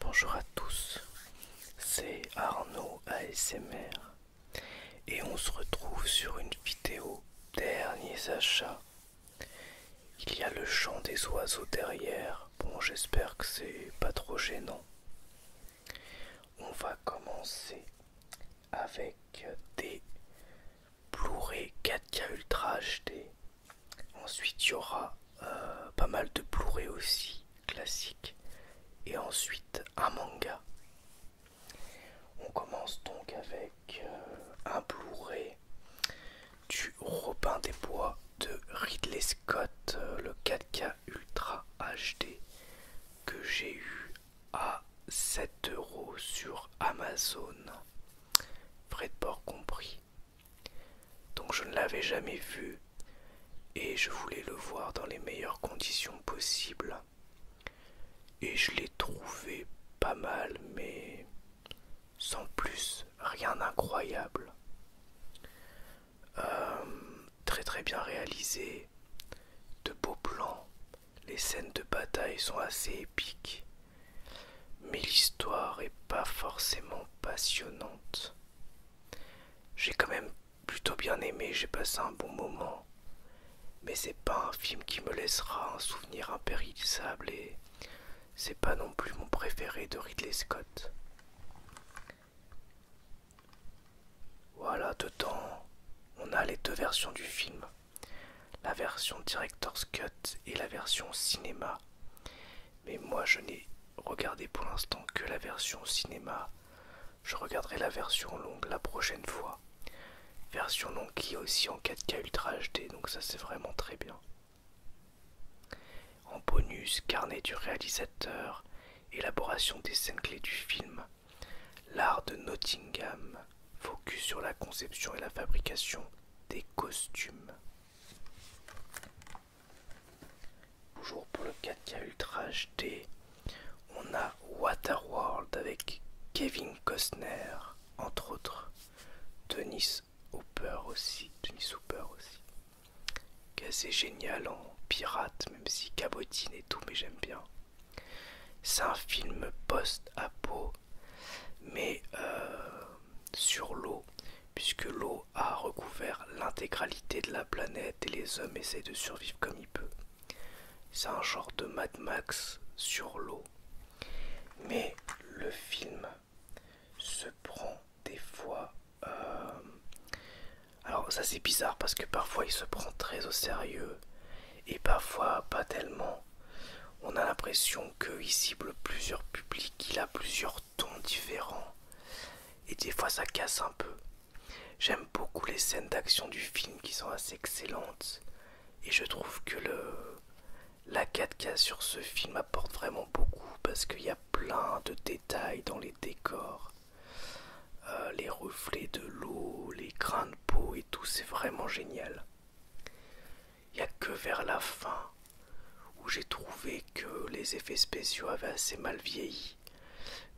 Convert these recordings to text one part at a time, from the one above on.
Bonjour à tous, c'est Arnaud ASMR et on se retrouve sur une vidéo derniers achats. Il y a le chant des oiseaux derrière, bon j'espère que c'est pas trop gênant. On va commencer avec des Blu-ray 4K Ultra HD. Ensuite, il y aura euh, pas mal de Blu-ray aussi classiques. Et ensuite, un manga. On commence donc avec euh, un Blu-ray du Robin des Bois de Ridley Scott, euh, le 4K Ultra HD que j'ai eu à 7 euros sur Amazon, frais de port compris. Donc je ne l'avais jamais vu et je voulais le voir dans les meilleures conditions possibles. Et je l'ai trouvé pas mal, mais sans plus, rien d'incroyable. Euh, très très bien réalisé de beaux plans, les scènes de bataille sont assez épiques, mais l'histoire est pas forcément passionnante. J'ai quand même plutôt bien aimé, j'ai passé un bon moment, mais c'est pas un film qui me laissera un souvenir impérissable et c'est pas non plus mon préféré de Ridley Scott. Voilà, dedans, on a les deux versions du film. La version Director's Cut et la version cinéma. Mais moi, je n'ai regardé pour l'instant que la version cinéma. Je regarderai la version longue la prochaine fois. Version longue qui est aussi en 4K Ultra HD, donc ça c'est vraiment très bien. En bonus, carnet du réalisateur, élaboration des scènes clés du film, L'art de Nottingham focus sur la conception et la fabrication des costumes. Toujours pour le 4K Ultra HD, on a Waterworld avec Kevin Costner, entre autres. Dennis Hooper aussi. Denis aussi. Qui génial en pirate, même si cabotine et tout, mais j'aime bien. C'est un film post-apo, mais euh, sur l'eau, puisque l'eau a recouvert l'intégralité de la planète et les hommes essaient de survivre comme ils peuvent. C'est un genre de Mad Max sur l'eau. Mais le film se prend des fois euh, alors ça c'est bizarre parce que parfois il se prend très au sérieux et parfois pas tellement. On a l'impression qu'il cible plusieurs publics, il a plusieurs tons différents. Et des fois ça casse un peu. J'aime beaucoup les scènes d'action du film qui sont assez excellentes. Et je trouve que le, la 4K sur ce film apporte vraiment beaucoup parce qu'il y a plein de détails dans les décors. Euh, les reflets de l'eau, les grains de peau et tout, c'est vraiment génial. Il n'y a que vers la fin où j'ai trouvé que les effets spéciaux avaient assez mal vieilli.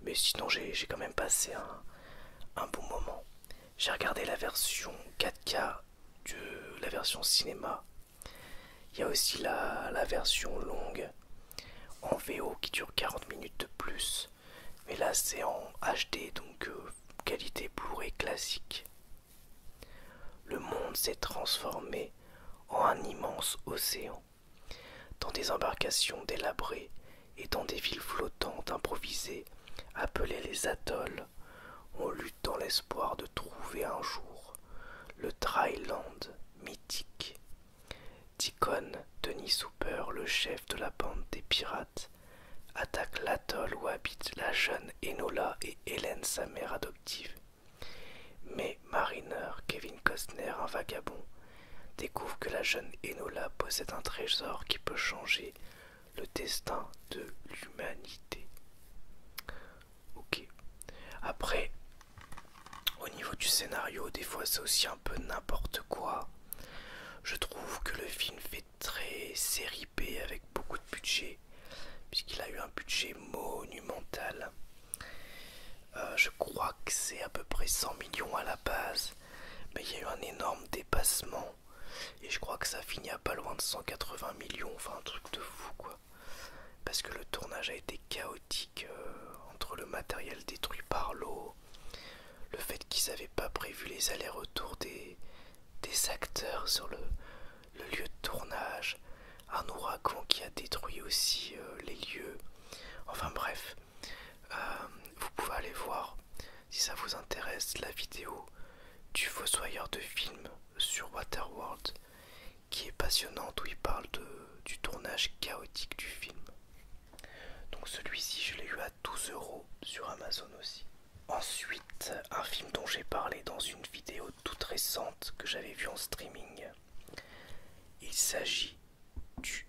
Mais sinon j'ai quand même passé un, bon moment. J'ai regardé la version 4K de la version cinéma. Il y a aussi la version longue en VO qui dure 40 minutes de plus. Mais là c'est en HD donc euh, qualité blu classique. Le monde s'est transformé en un immense océan, dans des embarcations délabrées et dans des villes flottantes improvisées appelées les atolls. On lutte dans l'espoir de trouver un jour le dryland mythique Deacon, Denis Souper, le chef de la bande des pirates, attaque l'atoll où habitent la jeune Enola et Hélène, sa mère adoptive. Mais Mariner, Kevin Costner, un vagabond, découvre que la jeune Enola possède un trésor qui peut changer le destin de l'humanité. Ok. Après, au niveau du scénario, des fois c'est aussi un peu n'importe quoi. Je trouve que le film fait très série B avec beaucoup de budget, puisqu'il a eu un budget monumental. Euh, je crois que c'est à peu près 100 millions à la base, mais il y a eu un énorme dépassement. Et je crois que ça finit à pas loin de 180 millions, enfin un truc de fou quoi. Parce que le tournage a été chaotique euh, entre le matériel détruit par l'eau, le fait qu'ils n'avaient pas prévu les allers-retours des, acteurs sur le, lieu de tournage, un ouragan qui a détruit aussi euh, les lieux, enfin bref, euh, vous pouvez aller voir si ça vous intéresse la vidéo du fossoyeur de film sur Waterworld qui est passionnante où il parle du tournage chaotique du film. Donc celui-ci, je l'ai eu à 12 euros sur Amazon aussi. Ensuite, un film dont j'ai parlé dans une vidéo toute récente que j'avais vu en streaming. Il s'agit du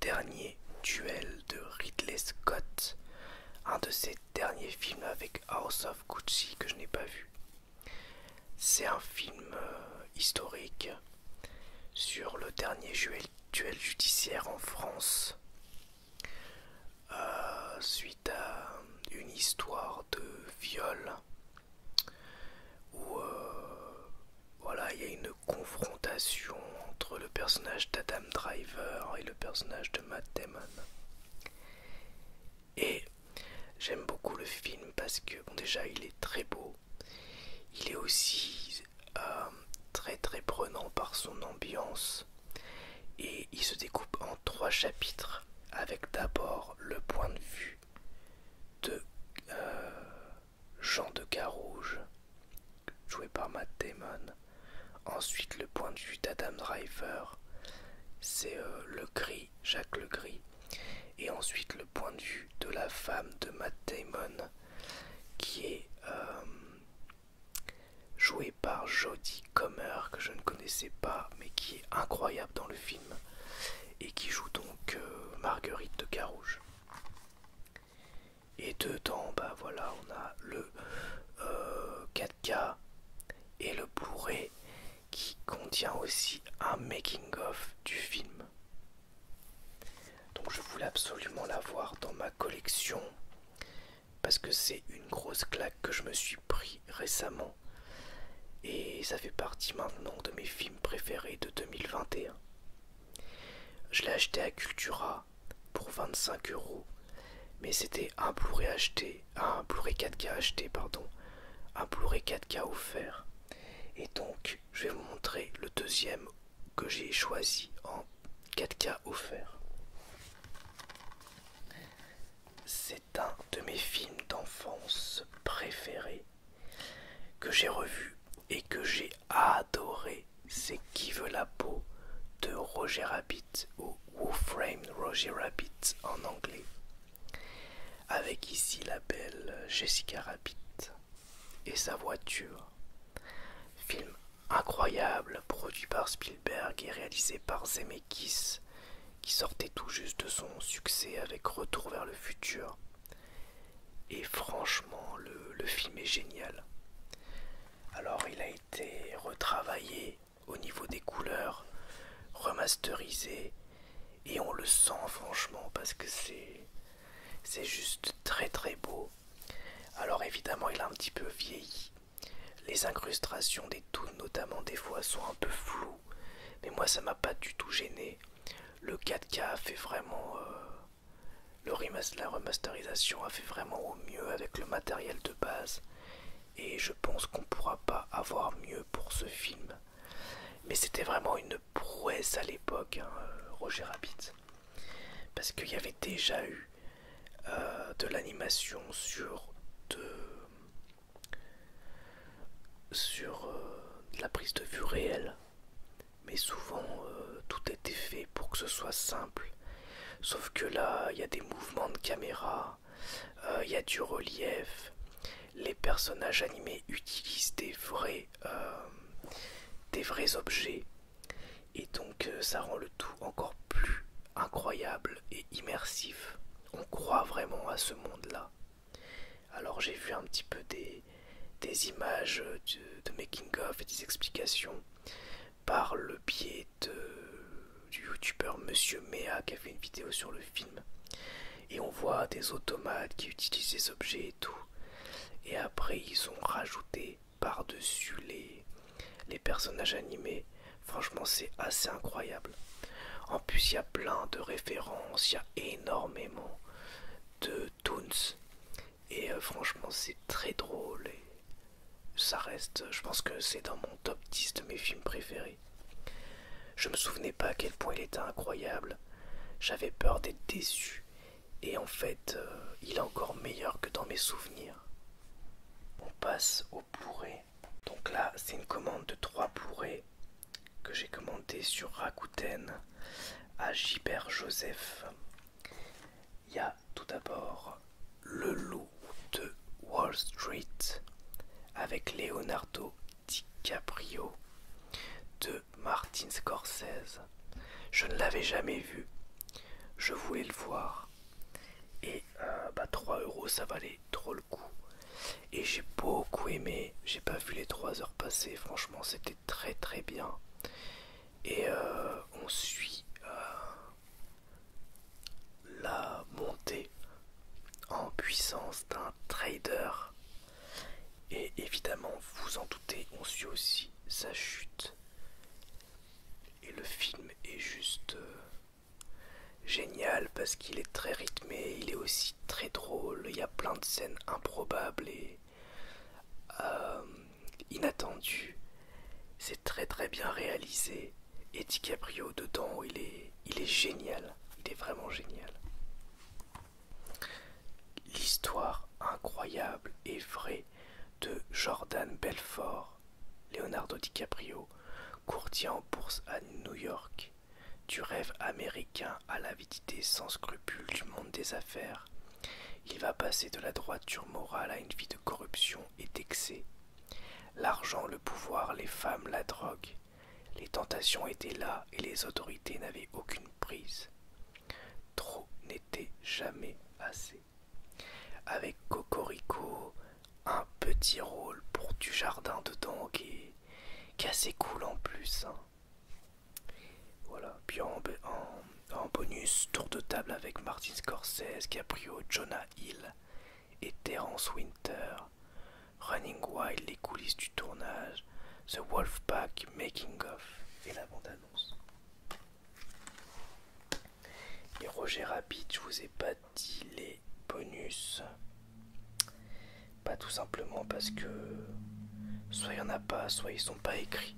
dernier duel de Ridley Scott, un de ses derniers films avec House of Gucci que je n'ai pas vu. C'est un film euh, historique sur le dernier duel judiciaire en France euh, suite à une histoire de viol où euh, voilà il y a une confrontation entre le personnage d'Adam Driver et le personnage de Matt Damon et j'aime beaucoup le film parce que déjà il est très beau il est aussi euh, très très prenant par son ambiance et il se découpe en trois chapitres avec d'abord le point de vue de euh, Jean de Carouge joué par Matt Damon ensuite le point de vue d'Adam Driver c'est euh, le gris Jacques le et ensuite le point de vue de la femme de Matt Damon qui est euh, joué par Jodie Comer, que je ne connaissais pas, mais qui est incroyable dans le film, et qui joue donc euh, Marguerite de Carouge. Et dedans, bah voilà, on a le 4K euh, et le bourré qui contient aussi un making-of du film. Donc je voulais absolument l'avoir dans ma collection parce que c'est une grosse claque que je me suis pris récemment et ça fait partie maintenant de mes films préférés de 2021. Je l'ai acheté à Cultura pour 25 euros, mais c'était un Blu-ray acheté, un Blu-ray 4K acheté, pardon, un Blu-ray 4K offert. Et donc, je vais vous montrer le deuxième que j'ai choisi en 4K offert. C'est un de mes films d'enfance préférés que j'ai revu et que j'ai adoré. C'est Qui veut la peau de Roger Rabbit ou Wolfram Roger Rabbit en anglais. Avec ici la belle Jessica Rabbit et sa voiture. Film incroyable produit par Spielberg et réalisé par Zemeckis qui sortait tout juste de son succès avec Retour vers le futur. Et franchement, le, le film est génial. Alors il a été retravaillé au niveau des couleurs, remasterisé, et on le sent franchement parce que c'est juste très très beau alors évidemment il a un petit peu vieilli. Les incrustations des touts, notamment des fois sont un peu floues. Mais moi ça m'a pas du tout gêné. Le 4K a fait vraiment... Euh, le la remasterisation a fait vraiment au mieux avec le matériel de base. Et je pense qu'on pourra pas avoir mieux pour ce film. Mais c'était vraiment une prouesse à l'époque, hein, euh, Roger Rabbit, parce qu'il y avait déjà eu euh, de l'animation sur de, sur euh, la prise de vue réelle, mais souvent tout était fait pour que ce soit simple. Sauf que là, il y a des mouvements de caméra, il y a du relief, les personnages animés utilisent des vrais, des vrais objets et donc euh, ça rend le tout encore plus incroyable et immersif. On croit vraiment à ce monde-là. Alors j'ai vu un petit peu des, images de, making-of et des explications par le biais de, du youtubeur Monsieur Mea qui a fait une vidéo sur le film. Et on voit des automates qui utilisent des objets et tout. Et après ils ont rajouté par-dessus les, les personnages animés. Franchement, c'est assez incroyable. En plus, il y a plein de références, il y a énormément de toons. Et euh, franchement, c'est très drôle. Et ça reste, je pense que c'est dans mon top 10 de mes films préférés. Je me souvenais pas à quel point il était incroyable. J'avais peur d'être déçu. Et en fait, euh, il est encore meilleur que dans mes souvenirs. On passe au blu Donc là, c'est une commande de trois bourrées que j'ai commandé sur Rakuten à Gilbert Joseph. Il y a tout d'abord Le Loup de Wall Street avec Leonardo DiCaprio de Martin Scorsese. Je ne l'avais jamais vu. Je voulais le voir. Et 3 euh, bah, euros, ça valait trop le coup. Et j'ai beaucoup aimé. J'ai pas vu les 3 heures passer. Franchement, c'était très très bien. Et euh, on suit euh, la montée en puissance d'un trader et évidemment, vous en doutez, on suit aussi sa chute. Et le film est juste euh, génial parce qu'il est très rythmé, il est aussi très drôle, il y a plein de scènes improbables et euh, inattendues. C'est très très bien réalisé. Et DiCaprio dedans, il est, il est génial. Il est vraiment génial l'histoire incroyable et vraie de Jordan Belfort, Leonardo DiCaprio, courtier en bourse à New York, du rêve américain à l'avidité sans scrupule du monde des affaires. Il va passer de la droiture morale à une vie de corruption et d'excès. L'argent, le pouvoir, les femmes, la drogue. Les tentations étaient là et les autorités n'avaient aucune prise. Trop jamais assez. Avec Cocorico, un petit rôle pour du jardin dedans qui est, assez cool en plus. Hein. Voilà, puis en, bonus, tour de table avec Martin Scorsese, Caprio, Jonah Hill et Terence Winter. Running Wild, les coulisses du tournage, The Wolfpack Making of et la bande-annonce. Et Roger Rabbit, je vous ai pas dit les bonus. Pas tout simplement parce que soit il n'y en a pas, soit ils sont pas écrits.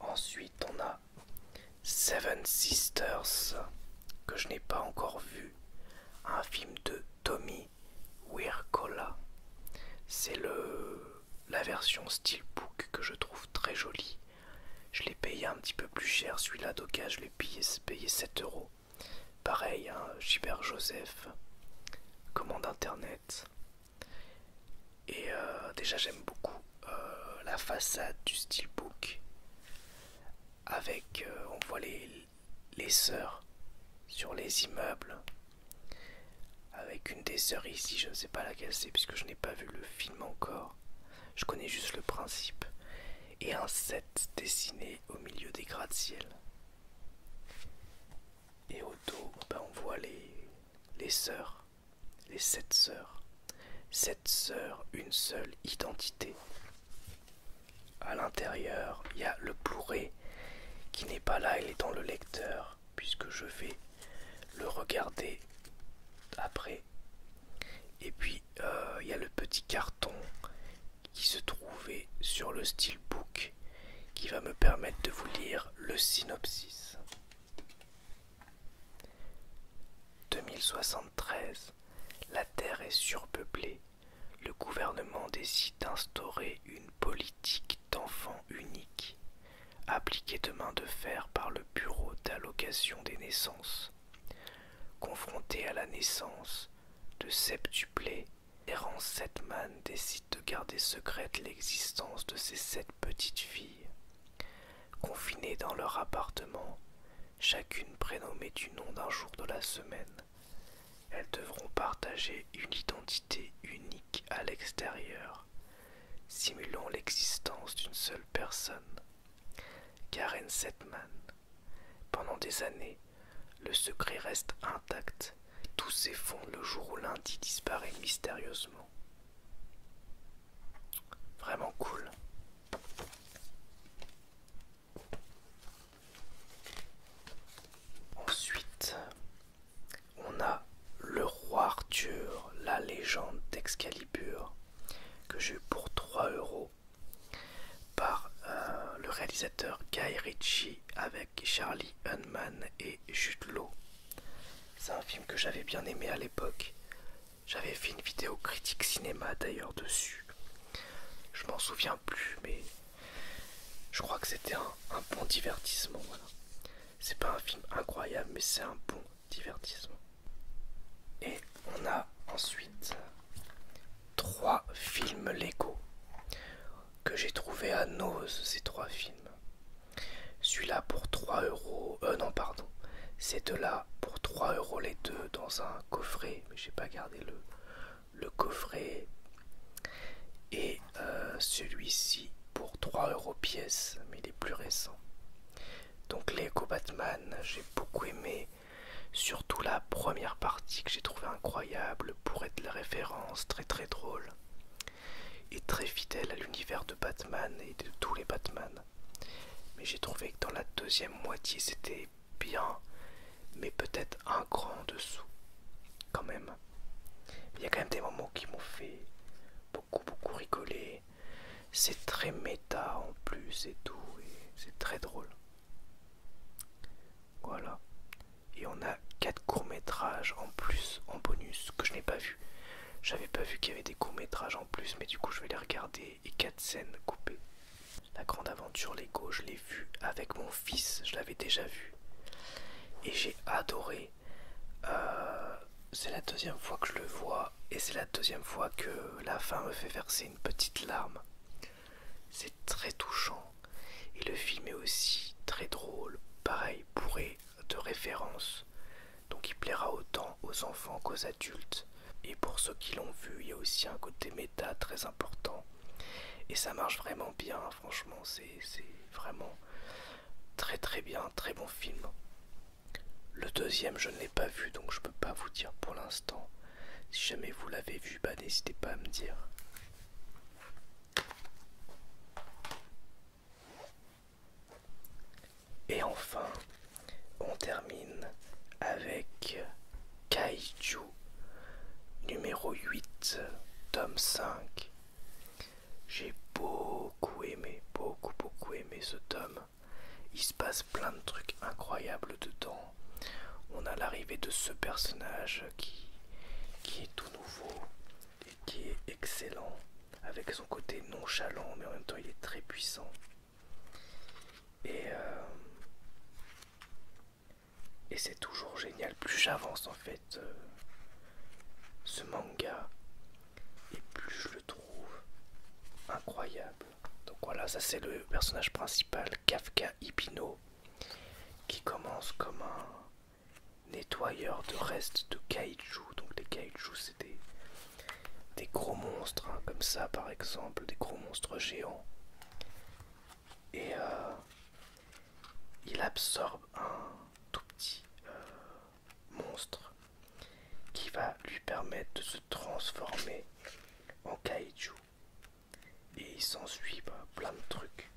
Ensuite, on a Seven Sisters, que je n'ai pas encore vu. Un film de Tommy Cola, C'est le la version steelbook que je trouve très jolie. Je l'ai payé un petit peu plus cher, celui-là d'Oka, je l'ai payé, 7 euros. Pareil, hein, gibert Joseph, commande internet. Et euh, déjà j'aime beaucoup euh, la façade du steelbook. Avec, euh, on voit les, les sœurs sur les immeubles. Avec une des sœurs ici, je ne sais pas laquelle c'est puisque je n'ai pas vu le film encore. Je connais juste le principe. Et un set dessiné au milieu des gratte-ciel. Et au dos, ben, on voit les, les sœurs, les sept sœurs. Sept sœurs, une seule identité à l'intérieur, il y a le blu qui n'est pas là, il est dans le lecteur, puisque je vais le regarder après. Et puis euh, il y a le petit carton qui se trouvait sur le steelbook qui va me permettre de vous lire le synopsis. 2073, la Terre est surpeuplée le gouvernement décide d'instaurer une politique d'enfant unique, appliquée de main de fer par le Bureau d'allocation des naissances. Confronté à la naissance de Septuplé, errant Setman décide de garder secrète l'existence de ces sept petites filles. Confinées dans leur appartement, chacune prénommée du nom d'un jour de la semaine. Elles devront partager une identité unique à l'extérieur, simulant l'existence d'une seule personne. Karen Setman. Pendant des années, le secret reste intact. Tout s'effondre le jour où lundi disparaît mystérieusement. Vraiment cool. Ensuite, on a le roi Arthur, la légende d'Excalibur, que j'ai eu pour 3 euros par euh, le réalisateur Guy Ritchie avec Charlie Hunman et Jude C'est un film que j'avais bien aimé à l'époque. J'avais fait une vidéo critique cinéma d'ailleurs dessus. Je m'en souviens plus, mais je crois que c'était un, bon divertissement, C'est pas un film incroyable, mais c'est un bon divertissement. Et on a ensuite trois films Lego que j'ai trouvé à Nose, ces trois films. Celui-là pour 3 euros, euh non, pardon, c'est là pour 3 euros les deux dans un coffret, mais j'ai pas gardé le, le coffret et euh, celui-ci pour 3 euros pièce, mais les plus récents Donc les Batman, j'ai beaucoup aimé, surtout la première partie que j'ai trouvé incroyable pour être la référence, très très drôle et très fidèle à l'univers de Batman et de tous les Batman. Mais j'ai trouvé que dans la deuxième moitié c'était bien, mais peut-être un grand dessous, quand même. Il y a quand même des moments qui m'ont fait beaucoup, beaucoup rigoler. C'est très méta en plus et tout, et c'est très drôle. Voilà. Et on a quatre courts-métrages en plus, en bonus, que je n'ai pas vu. J'avais pas vu qu'il y avait des courts-métrages en plus, mais du coup je vais les regarder et 4 scènes coupées. La grande aventure Lego, je l'ai vu avec mon fils, je l'avais déjà vu. Et j'ai adoré. Euh, c'est la deuxième fois que je le vois et c'est la deuxième fois que la fin me fait verser une petite larme. C'est très touchant. Et le film est aussi très drôle, pareil, bourré de référence, Donc il plaira autant aux enfants qu'aux adultes. Et pour ceux qui l'ont vu, il y a aussi un côté méta très important. Et ça marche vraiment bien, franchement, c'est vraiment très très bien, très bon film. Le deuxième, je ne l'ai pas vu, donc je ne peux pas vous dire pour l'instant. Si jamais vous l'avez vu, bah, n'hésitez pas à me dire. Et enfin, on termine avec Kaiju, numéro 8, tome 5. J'ai beaucoup aimé, beaucoup, beaucoup aimé ce tome. Il se passe plein de trucs incroyables dedans. On a l'arrivée de ce personnage qui, qui est tout nouveau et qui est excellent, avec son côté nonchalant, mais en même temps il est très puissant. Et euh, et c'est toujours génial. Plus j'avance en fait euh, ce manga, et plus je le trouve incroyable. Donc voilà, ça c'est le personnage principal, Kafka Ipino, qui commence comme un nettoyeur de restes de kaiju. Donc les kaiju c'est des, gros monstres, hein. comme ça par exemple, des gros monstres géants et euh, il absorbe un tout petit euh, monstre qui va lui permettre de se transformer en kaiju et il s'ensuit suit bah, plein de trucs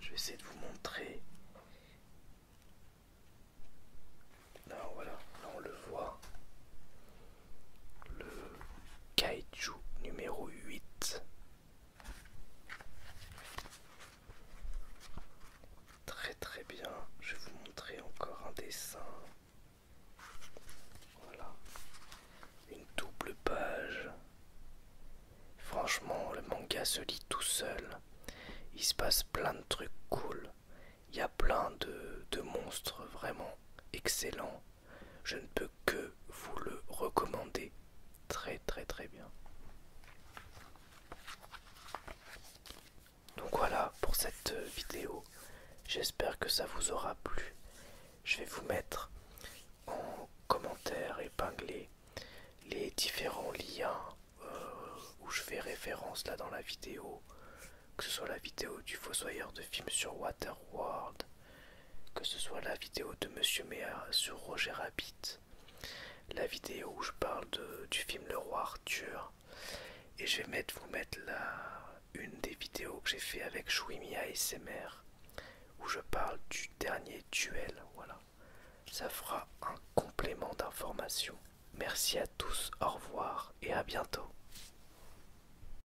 je vais essayer de vous montrer voilà là on le voit le kaiju numéro 8. Très très bien, je vais vous montrer encore un dessin. Voilà, une double page. Franchement, le manga se lit tout seul. Il se passe plein de trucs cool. Il y a plein de, de monstres vraiment excellents. Je ne peux que vous le recommander. Très très très bien. Donc voilà pour cette euh, vidéo. J'espère que ça vous aura plu. Je vais vous mettre en commentaire épinglé les différents liens euh, où je fais référence là dans la vidéo, que ce soit la vidéo du fossoyeur de films sur Waterworld, que ce soit la vidéo de Monsieur Mea sur Roger Rabbit, la vidéo où je parle du film Le Roi Arthur, et je vais vous mettre une des vidéos que j'ai fait avec ses ASMR, où je parle du dernier duel. Voilà, ça fera un complément d'information. Merci à tous, au revoir et à bientôt.